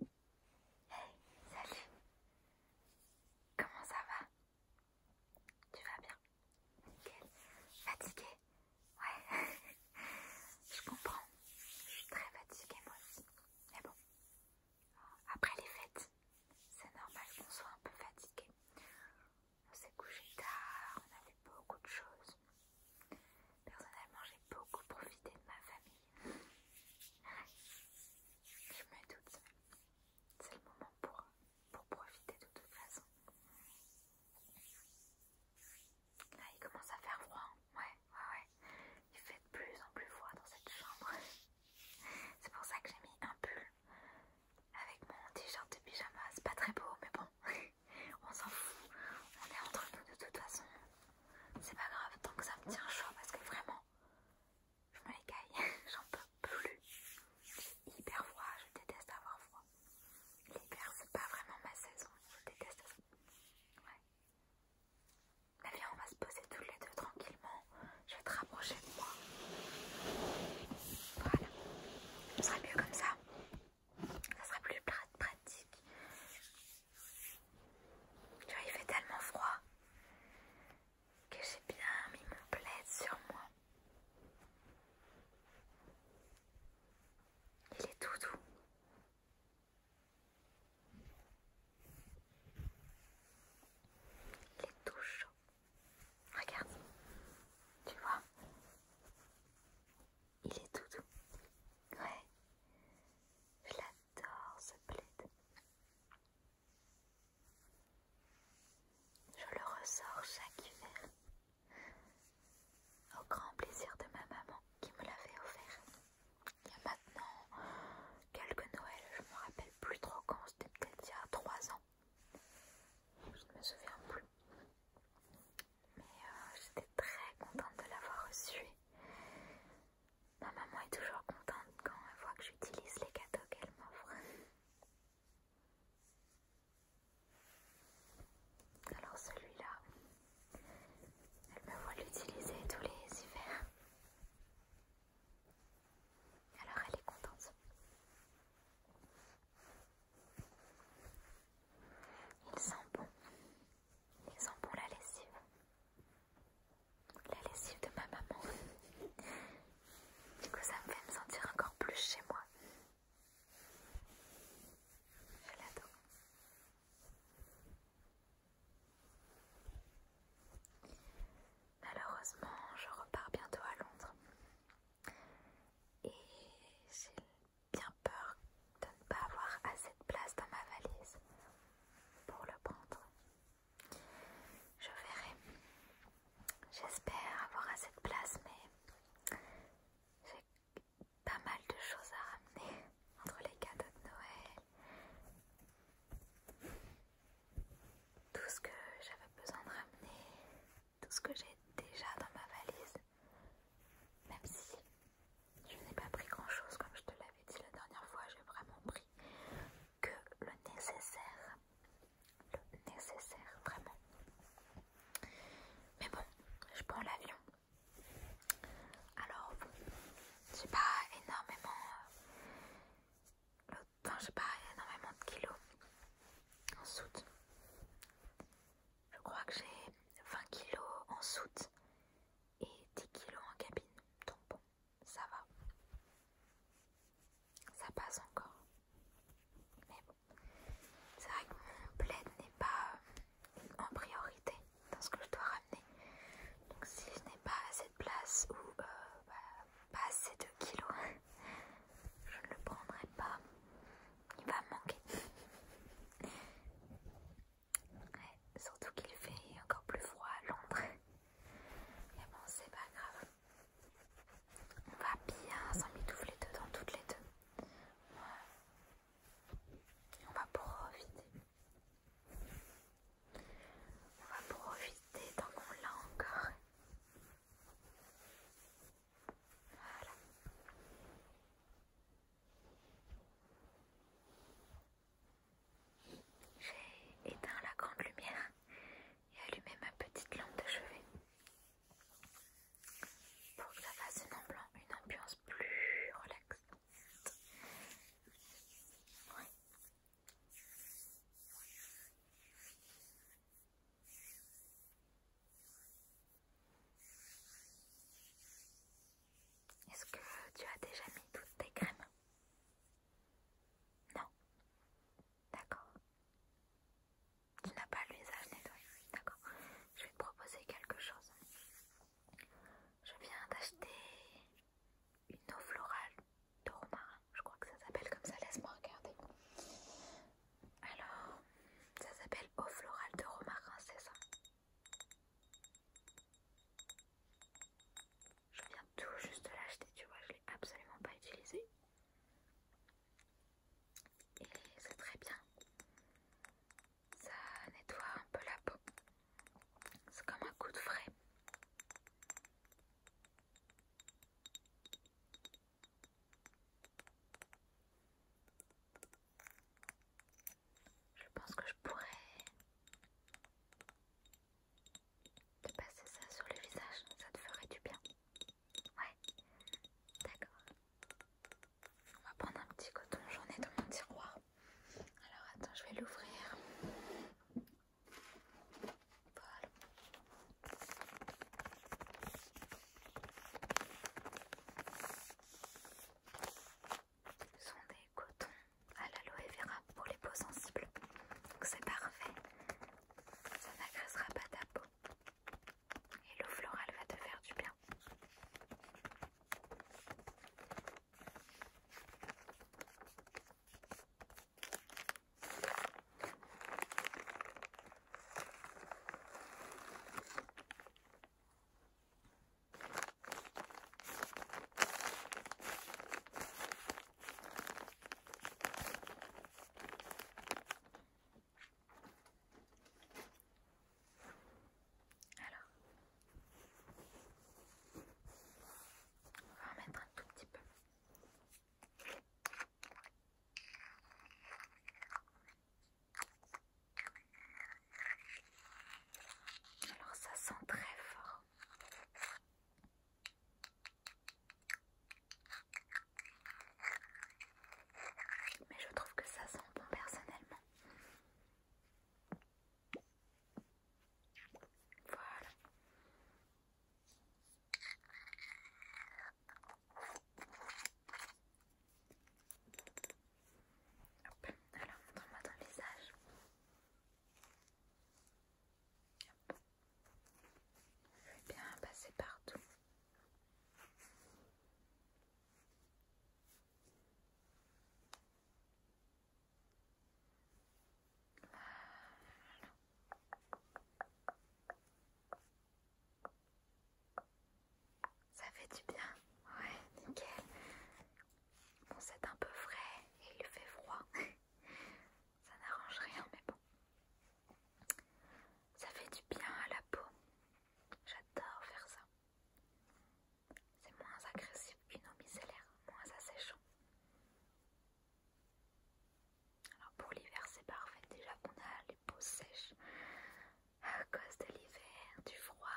Hey, salut Comment ça va Tu vas bien Nickel. Fatigué Ouais, je comprends. Je suis très fatiguée moi aussi. Mais bon, après les fêtes, c'est normal qu'on soit un peu fatigué. On s'est couché tard, on a fait beaucoup de choses. Personnellement, j'ai beaucoup profité de ma famille. Je me doute. C'est le moment pour, profiter de toute façon. Là, il commence à faire froid. Hein. ouais, ouais, ouais. Il fait de plus en plus froid dans cette chambre. C'est pour ça que j'ai mis un pull avec mon t-shirt de pyjama. C'est pas très beau, mais bon, on s'en fout. On est entre nous de toute façon c'est pas grave tant que ça me tient chaud parce que vraiment je me l'écaille, j'en peux plus. J'ai hyper froid, je déteste avoir froid. L'hiver c'est pas vraiment ma saison, je déteste ça. Ouais. Mais on va se poser tous les deux tranquillement. Je vais te rapprocher de moi. Voilà. Ce serait mieux comme ça. Ça serait plus pratique il fait tellement froid que j'ai bien mis mon plaid sur moi. Il est tout doux. Il est tout chaud. Regarde, tu vois, il est tout doux. Ouais. Je l'adore ce plaid. Je le ressors chaque hiver. Au grand plaisir de ma maman qui me l'avait offert. Il y a maintenant quelques Noëls, je me rappelle plus trop quand, c'était peut-être il y a trois ans. Je ne me souviens plus mais euh, j'étais très contente de l'avoir reçu. Ma maman est toujours contente quand elle voit que j'utilise les cadeaux qu'elle m'offre. Alors celui-là, elle me voit l'utiliser tous les hivers. Alors elle est contente. Il sent bon. Ils sent bon la lessive. La lessive de ma maman. Du coup, ça me fait me sentir encore plus chez moi. Je l'adore. Malheureusement, je repars bientôt à Londres. Et j'ai bien peur de ne pas avoir assez de place dans ma valise pour le prendre. Je verrai. J'espère avoir assez de place, mais j'ai pas mal de choses à ramener entre les cadeaux de Noël, tout ce que j'avais besoin de ramener, tout ce que j'ai déjà dans ma valise, même si je n'ai pas pris grand chose comme je te l'avais dit la dernière fois, j'ai vraiment pris que le nécessaire. Le nécessaire, vraiment. Mais bon, je prends l'avion. Alors j'ai pas énormément. j'ai euh, pas énormément de kilos en soute. Je crois que j'ai 20 kg en soute et 10 kg en cabine. Donc bon, ça va. Ça passe encore. Mais bon, c'est vrai que mon plaid n'est pas euh, en priorité dans ce que je dois ramener. Donc si je n'ai pas assez de place ou euh, bah, pas assez de kilos, je ne le prendrai pas il va manquer. surtout qu'il fait encore plus froid à Londres. Mais bon, c'est pas grave. On va bien s'en deux dedans toutes les deux. Et On va profiter. On va profiter tant qu'on l'a encore. Voilà. J'ai éteint la grande lumière et allumé ma petite lampe de chevet pour que ça fasse une, ambiance, une ambiance plus relaxante. Est-ce que tu as déjà mis toutes tes crèmes Non. D'accord. Tu n'as pas le visage nettoyé. D'accord. Je vais te proposer quelque chose. Je viens d'acheter une eau florale de romarin. Je crois que ça s'appelle comme ça. Laisse-moi regarder. Alors, ça s'appelle eau florale de romarin, c'est ça Je viens tout juste de l'acheter, tu vois, je l'ai absolument pas utilisé. Et c'est très bien. Ça nettoie un peu la peau. C'est comme un coup de frais. Je pense que je pourrais te passer ça sur le visage, ça te ferait du bien. Ouais, d'accord. On va prendre un petit coton, j'en ai dans mon tiroir. Alors attends, je vais l'ouvrir. Voilà sont des cotons à l'aloe vera pour les peaux sensibles. Donc c'est parfait, ça n'agressera pas ta peau. Et l'eau florale va te faire du bien. Alors, on va en mettre un tout petit peu. Alors ça sent très fort. Mais je trouve que ça sent bon personnellement. Voilà. Hop, alors montre-moi ton visage. Je vais bien passer partout. Ça fait du bien, ouais, nickel. Bon, c'est un peu frais et il fait froid. Ça n'arrange rien, mais bon. Ça fait du bien à la peau. J'adore faire ça. C'est moins agressif qu'une eau micellaire, moins asséchant. Alors pour l'hiver c'est parfait, déjà qu'on a les peaux sèches à cause de l'hiver, du froid.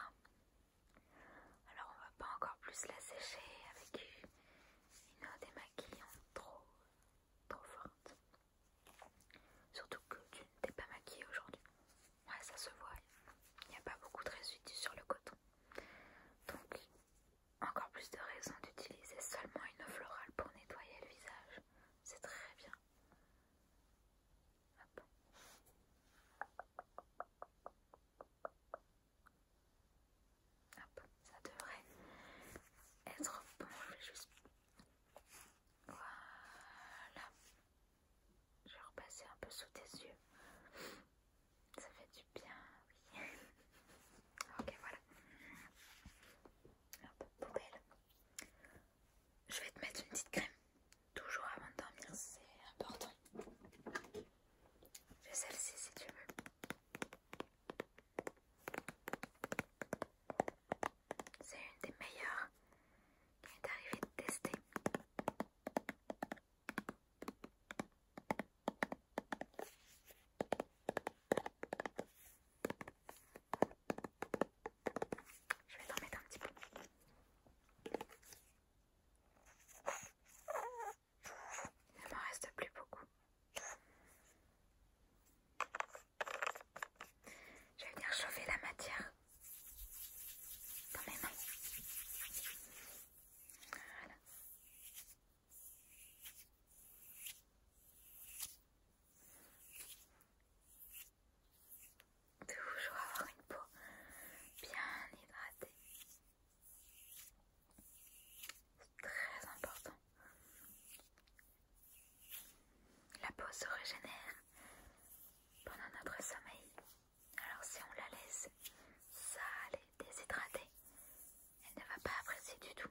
Alors on va pas encore plus la sécher avec une eau démaquillante trop, trop forte. Surtout que tu ne t'es pas maquillée aujourd'hui. Ouais ça se voit, il n'y a pas beaucoup de résidus sur le coton. Donc encore plus de raisons d'utiliser seulement une eau florale pour nettoyer le visage. C'est très bien. Hop. Ah Hop, ah ça devrait être bon. Je vais juste. Voilà. Je vais repasser un peu sous tes yeux. Ça fait du bien, oui. ok, voilà. Je vais te mettre une petite crème. Toujours avant de dormir, c'est important. Fais celle-ci si tu veux. C'est une des meilleures qui m'est arrivée de tester. Je vais t'en un petit peu. Il ne m'en reste plus beaucoup. Je vais venir chauffer la matière dans mes mains. Voilà. Toujours avoir une peau bien hydratée. C'est très important. La peau se régénère pendant notre sommeil. Alors si on la laisse sale et déshydratée, elle ne va pas apprécier du tout.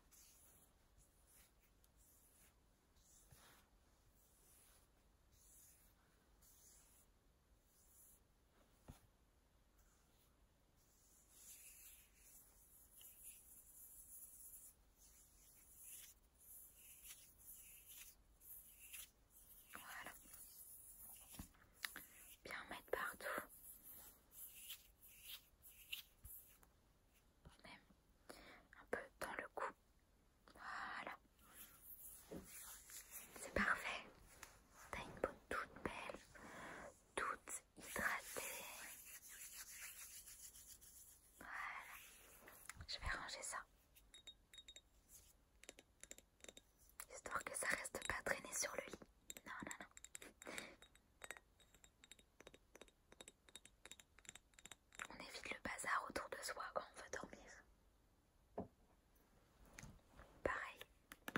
Voilà. Bien mettre partout même un peu dans le cou. Voilà, c'est parfait. T'as une peau toute belle, toute hydratée. Voilà, je vais ranger ça. Histoire que ça reste pas traîné sur le lit. Non, non, non. On évite le bazar autour de soi quand on veut dormir. Pareil,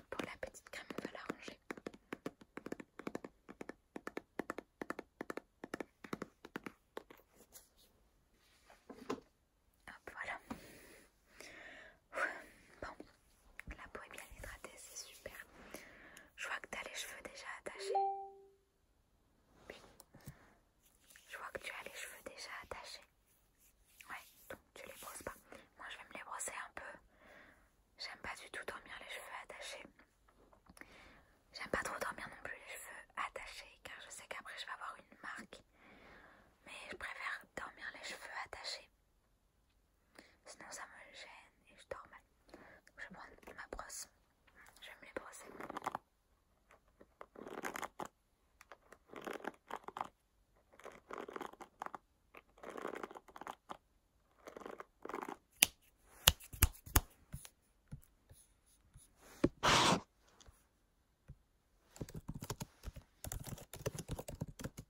pour la petite crème, on va la ranger. Hop, voilà. Bon, la peau est bien hydratée, c'est super. Je vois que tu as les cheveux déjà attachés. Je vois que tu as les cheveux déjà attachés. Ouais, donc tu les brosses pas. Moi je vais me les brosser un peu. J'aime pas du tout dormir les cheveux attachés. J'aime pas trop dormir non plus les cheveux attachés car je sais qu'après je vais avoir une marque. Mais je préfère dormir les cheveux attachés. Sinon ça me gêne et je dors mal. je prends ma brosse. Je me les brosser.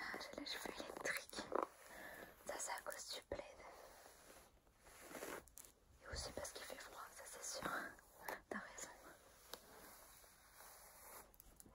Ah, j'ai les cheveux électriques. Ça, c'est à cause du plaid. Et aussi parce qu'il fait froid, ça c'est sûr. T'as raison.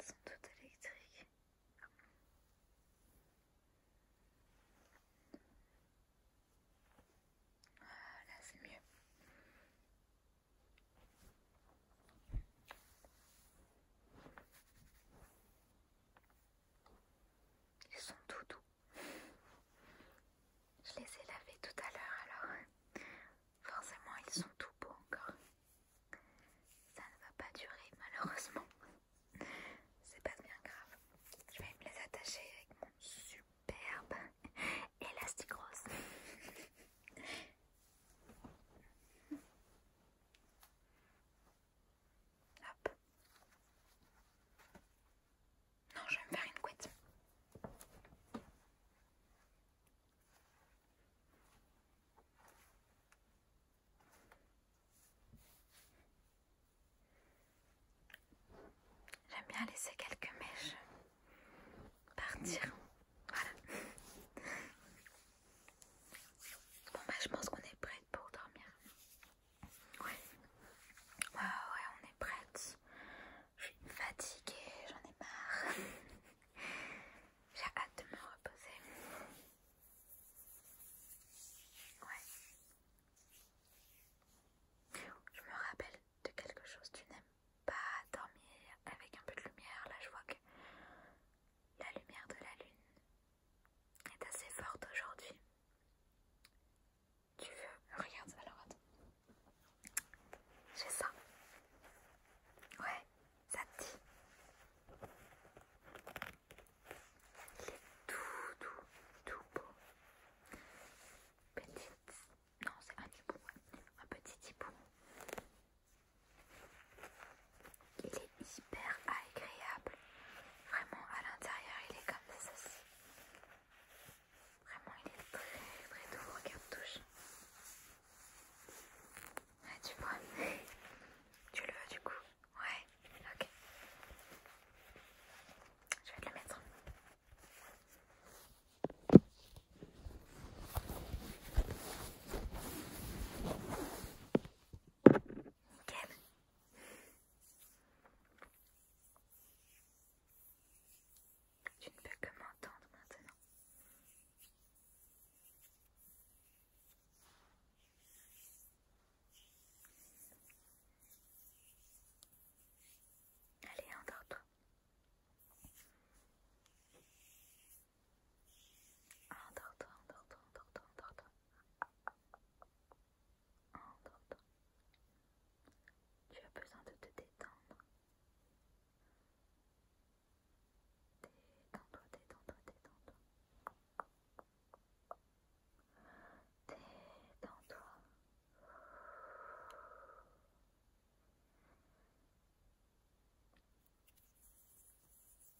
sont toutes électriques. Ah, là c'est mieux. Ils sont tout doux. Je les ai lavés tout à l'heure alors. Hein. Forcément ils sont tout beaux encore. Ça ne va pas durer malheureusement. C'est pas bien grave. Je vais me les attacher avec mon superbe élastique rose. Hop. Non, je vais me faire une couette. J'aime bien laisser quelques mèches partir. Voilà. Bon, bah, je pense qu'on est prête pour dormir. Ouais. Ah ouais, on est prête. Je suis fatiguée, j'en ai marre. J'ai hâte de me reposer. Ouais. Je me rappelle de quelque chose. Tu n'aimes pas dormir avec un peu de lumière. Là, je vois que la lumière de la lune est assez forte aujourd'hui. Tu veux Regarde, alors attends. C'est ça. Ouais, ça te dit. Il est tout, tout, tout beau. petit, Non, c'est un petit hibou. Un petit hibou. Il est hyper agréable. Vraiment, à l'intérieur, il est comme ça. Vraiment, il est très très doux. Regarde, touche. Ah, tu vois Tu le veux du coup Ouais, ok. Je vais te le mettre. Nickel. Tu ne peux que m'entendre maintenant. Allez, endors-toi. Endors-toi, endors-toi, endors-toi, endors-toi. endors toi endors toi endors toi endors toi endors toi tu as besoin de te détendre. Détends-toi, détends-toi, détends-toi. Détends-toi. Et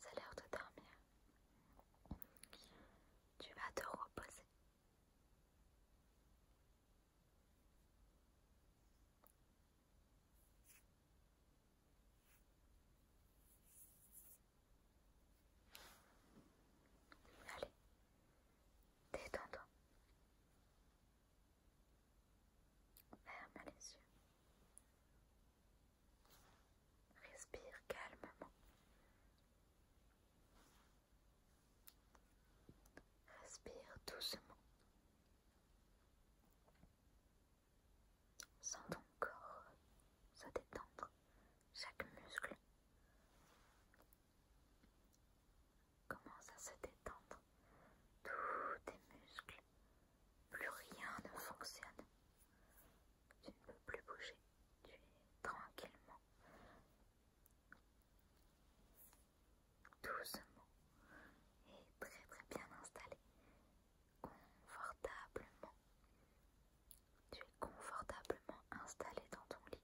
Ça a l'air de dormir. Tu vas te reposer. Allez, détends-toi. Ferme les yeux. Respire calmement. Respire doucement. Sans ton corps se détendre, chaque muscle, commence à se détendre. Tous tes muscles, plus rien ne fonctionne. Tu ne peux plus bouger, tu es tranquillement, doucement et très très bien installé, confortablement. Tu es confortablement installé dans ton lit.